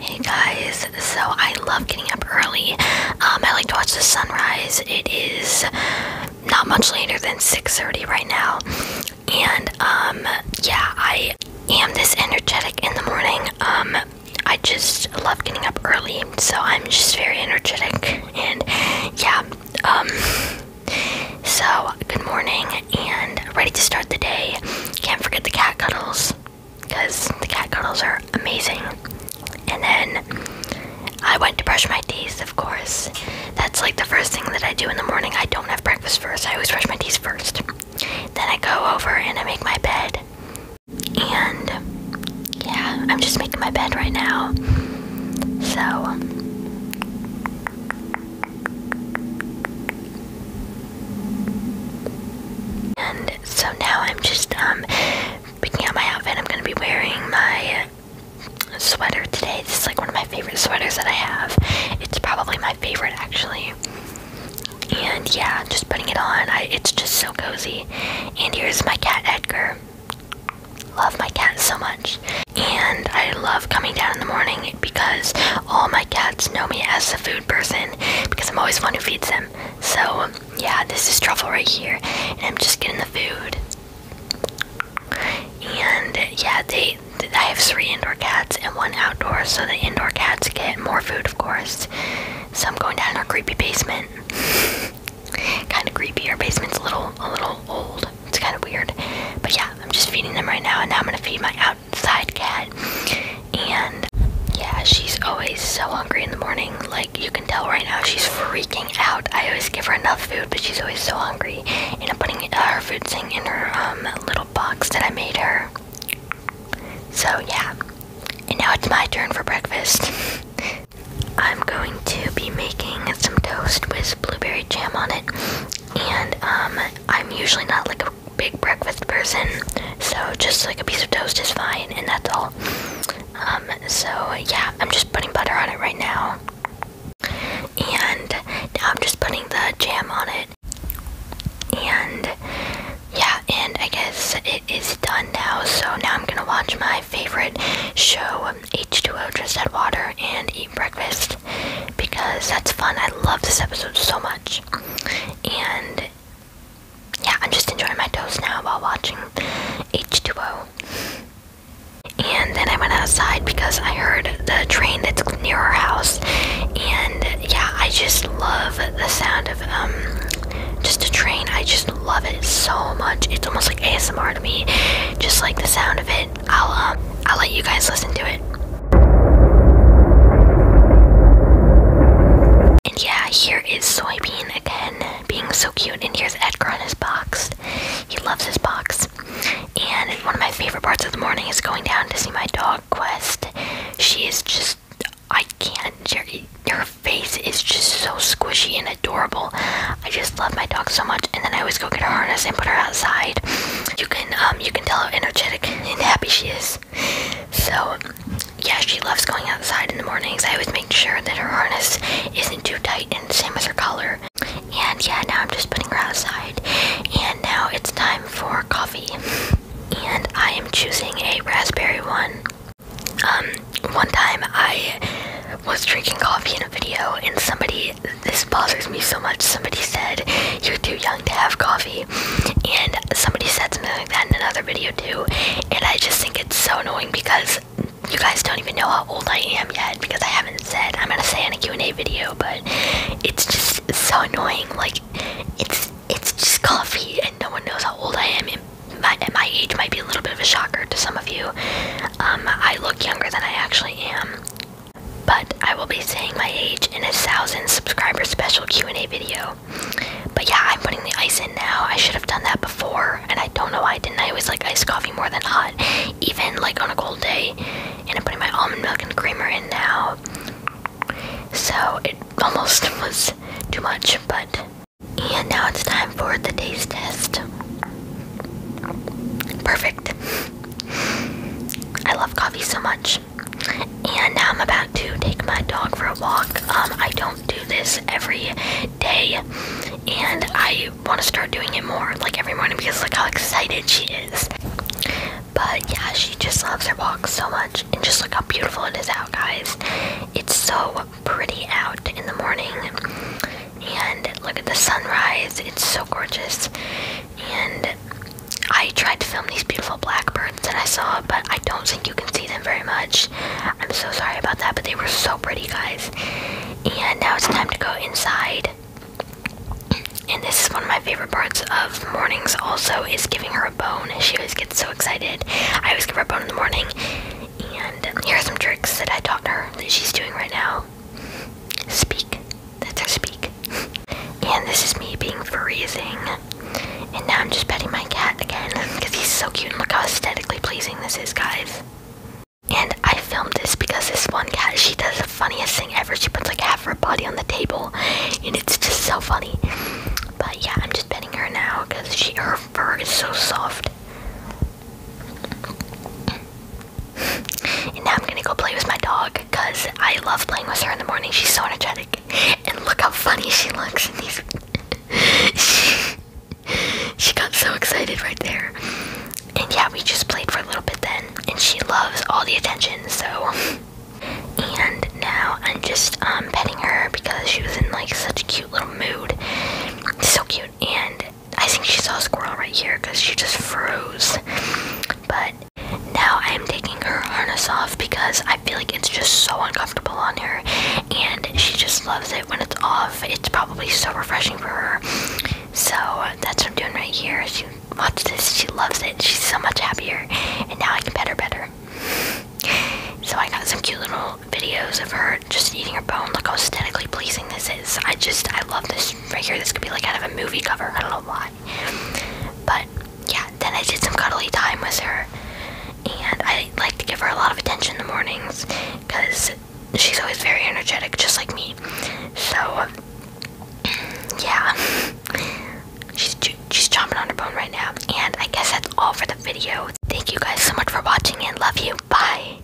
Hey guys, so I love getting up early. Um, I like to watch the sunrise. It is not much later than 6:30 right now, and um, yeah, I am this energetic in the morning. Um, I just love getting up early, so I'm just very energetic, and yeah. so good morning, and ready to start the day. Can't forget the cat cuddles because the cat cuddles are amazing. And then I went to brush my teeth, of course. That's like the first thing that I do in the morning. I don't have breakfast first, I always brush my teeth first. Then I go over and I make my bed. And yeah, I'm just making my bed right now. So and so now I'm just um picking out my outfit. I'm gonna be wearing my sweater today. This is like one of my favorite sweaters that I have. It's probably my favorite actually. And yeah, just putting it on. I, it's just so cozy. And here's my cat Edgar. Love my cat so much. And I love coming down in the morning because all my cats know me as the food person because I'm always the one who feeds them. So yeah, this is truffle right here, and I'm just getting the food. And yeah, they I have three indoor cats and one outdoor, so the indoor cats get more food, of course. So I'm going down our creepy basement. kind of creepy. Our basement's a little a little old. It's kind of weird, but yeah, I'm just feeding them right now, and now I'm gonna feed my out side cat and yeah she's always so hungry in the morning like you can tell right now she's freaking out i always give her enough food but she's always so hungry and i'm putting uh, her food thing in her um, little box that i made her so yeah and now it's my turn for breakfast i'm going to be making some toast with blueberry jam on it and um, i'm usually not like a big breakfast person, so just like a piece of toast is fine, and that's all. Um, so yeah, I'm just putting butter on it right now, and now I'm just putting the jam on it, and yeah, and I guess it is done now. So now I'm gonna watch my favorite show, H2O Just had Water, and eat breakfast because that's fun. I love this episode so much. And yeah, I'm just enjoying my toast now while watching H2O. And then I went outside because I heard the train that's near our house. And yeah, I just love the sound of um just a train. I just love it so much. It's almost like ASMR to me. Just like the sound of it I'll um, I'll let you guys listen to it. And yeah, here is Soybean again, being so cute. And here's Edgar on his box. He loves his box. And one of my favorite parts of the morning is going down to see my dog Quest. She is just I can't. Her face is just so squishy and adorable. I just love my dog so much. And then I always go get her harness and put her outside you can um you can tell how energetic and happy she is. So yeah, she loves going outside in the mornings. I always make sure that her harness isn't too tight and same as her collar. And yeah, now I'm just putting her outside. And now it's time for coffee. And I am choosing a raspberry one. Um, one time I was drinking coffee in a video and somebody this bothers me so much. Somebody said you're too young to have coffee, and somebody said something like that in another video too. And I just think it's so annoying because you guys don't even know how old I am yet because I haven't said I'm gonna say in a Q&A video, but it's just so annoying. Like it's it's just coffee, and no one knows how old I am. And my, age might be a little bit of a shocker to some of you. Um, I look younger than I actually am. But I will be saying my age in a thousand subscriber special Q&A video. But yeah, I'm putting the ice in now. I should have done that before, and I don't know why I didn't. I always like iced coffee more than hot, even like on a cold day. And I'm putting my almond milk and creamer in now. So it almost was too much, but. And now it's time for the taste test. Perfect. I love coffee so much. And now I'm about to take my dog for a walk. Um, I don't do this every day, and I want to start doing it more, like every morning, because look how excited she is. But yeah, she just loves her walk so much, and just look how beautiful it is out, guys. It's so pretty out in the morning and look at the sunrise. It's so gorgeous. And I tried to film these beautiful blackbirds that I saw, but I don't think you can see them very much. I'm so sorry about that, but they were so pretty, guys. And now it's time to go inside. And this is one of my favorite parts of mornings also is giving her a bone. She always gets so excited. I always give her a bone in the morning. And here are some tricks that I taught her that she's doing right now. Speak. That's our speak. and this is me being freezing. And now I'm just petting my cat again because he's so cute and look how aesthetically pleasing this is, guys. And I filmed this because this one cat, she does the funniest thing ever. She puts like half her body on the table and it's just so funny. But yeah, I'm just petting her now because she her fur is so soft. And now I'm gonna go play with my dog because I love playing with her in the morning. She's so energetic. And look how funny she looks in she, she got so excited right there. And yeah, we just played for a little bit then. And she loves all the attention, so. And now I'm just um, petting her because she was in like such a cute little mood. So cute. And I think she saw a squirrel right here because she just froze. But now I am taking her harness off because I feel like it's just so uncomfortable on her and she just loves it when it's off. It's probably so refreshing for her. So that's what I'm doing right here. She watch this, she loves it, she's so much happier, and now I can pet her better. So I got some cute little videos of her just eating her bone. Look how aesthetically pleasing this is. I just I love this Right here, this could be like out of a movie cover. I don't know why. But yeah, then I did some cuddly time with her, and I like to give her a lot of attention in the mornings because she's always very energetic, just like me. So yeah, she's she's chomping on her bone right now. And I guess that's all for the video. Thank you guys so much for watching, and love you. Bye.